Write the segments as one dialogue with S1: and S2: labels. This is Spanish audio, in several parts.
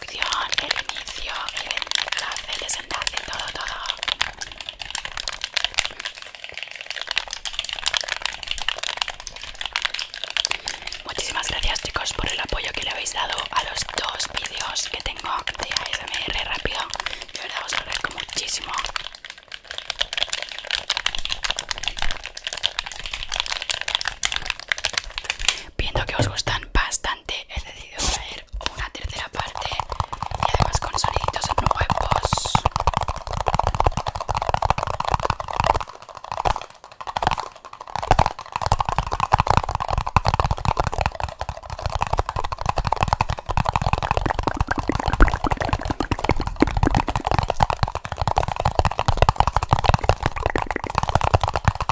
S1: el inicio, el enlace, el desenlace, todo, todo. Muchísimas gracias chicos por el apoyo que le habéis dado a los dos vídeos que tengo de ASMR rápido. De verdad os agradezco muchísimo viendo que os gustan bastante he decidido traer una tercera parte y además con soniditos nuevos Rápido,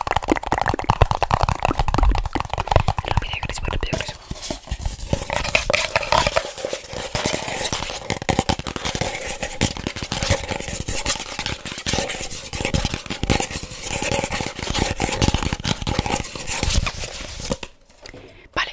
S1: crispo, rápido, crispo. Vale.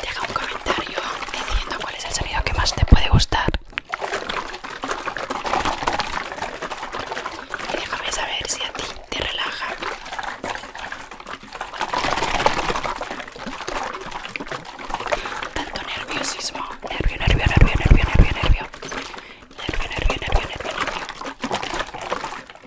S1: Deja un comentario diciendo cuál es el sonido que más te puede gustar. Y déjame saber si a ti te relaja. Tanto nerviosismo. Nervio, nervio, nervio, nervio, nervio, nervio. Nervio, nervio, nervio, nervio, nervio.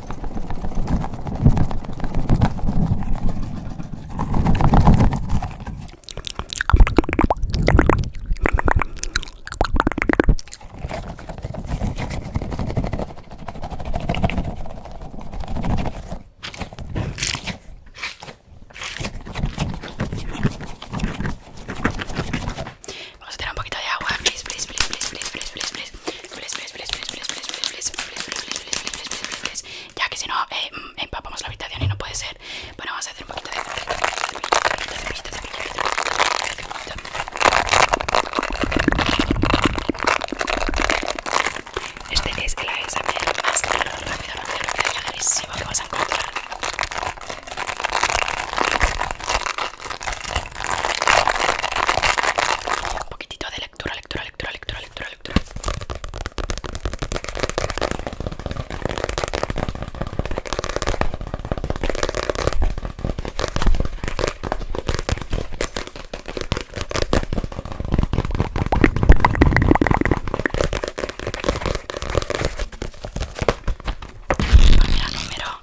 S1: Vamos a tirar un poquito de agua, please, please, please, please, please, please, please, please. Ya que si no, empapamos la habitación y no puede ser. Bueno, vamos a hacer un poquito de... Este es el examen más rápido, agresivo que vas a encontrar. Un poquitito de lectura, lectura, lectura, lectura, lectura, lectura. número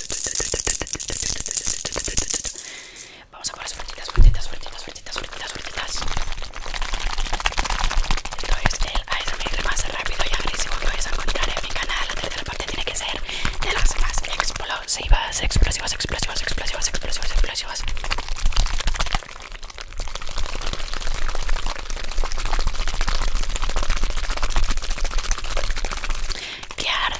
S1: Vamos a por las vueltitas, vueltitas, vueltitas, vueltitas, vueltitas, fuertitas. Esto es el ASMR más rápido y agresivo que vais a encontrar en mi canal. La tercera parte tiene que ser de las más explosivas, explosivas, explosivas, explosivas, explosivas, explosivas. ¡Qué arda.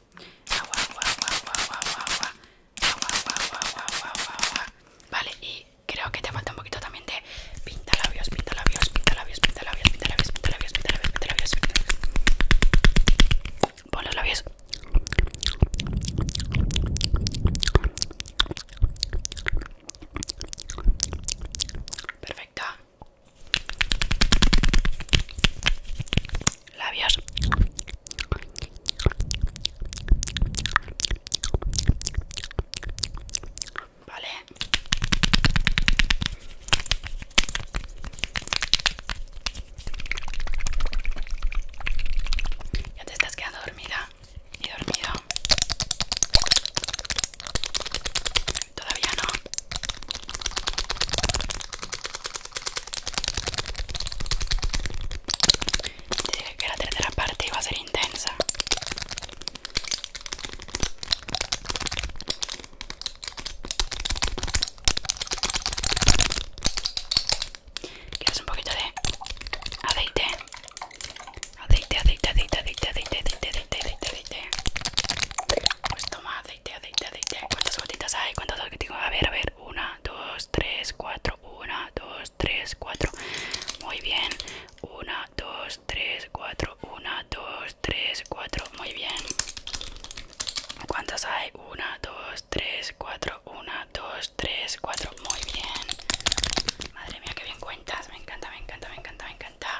S1: agua, Vale, y creo que te falta un poquito también de pintalabios, pintalabios, pintalabios, pintalabios, pintalabios, pintalabios, pintalabios, pintalabios. Pon los labios. Perfecto labios vale ya te estás quedando dormida y dormido todavía no que la tercera parte iba a ser intensa. es un poquito de aceite? Aceite, aceite, aceite, aceite, aceite, aceite, aceite, aceite, aceite. Pues toma aceite, aceite, aceite. ¿Cuántas gotitas hay? ¿Cuántas tengo? A ver, a ver. Una, dos, tres, cuatro. Una, dos, tres, cuatro. Muy bien. Una, dos, tres, cuatro. Una, dos, tres, cuatro. Muy bien. ¿Cuántas hay? Una, dos, tres, cuatro. Una, dos, tres, cuatro. Muy bien. Madre mía, qué bien cuentas. Me encanta, me encanta, me encanta, me encanta.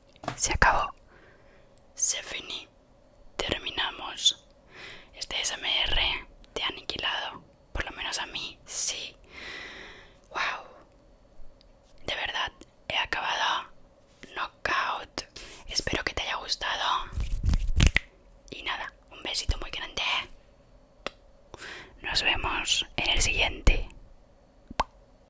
S1: Se acabó. Se finí. Terminamos. Este SMR te ha aniquilado. Por lo menos a mí, sí. Wow. De verdad, he acabado. Knockout. Espero que te haya gustado. Y nada, un besito muy grande. Nos vemos en el siguiente.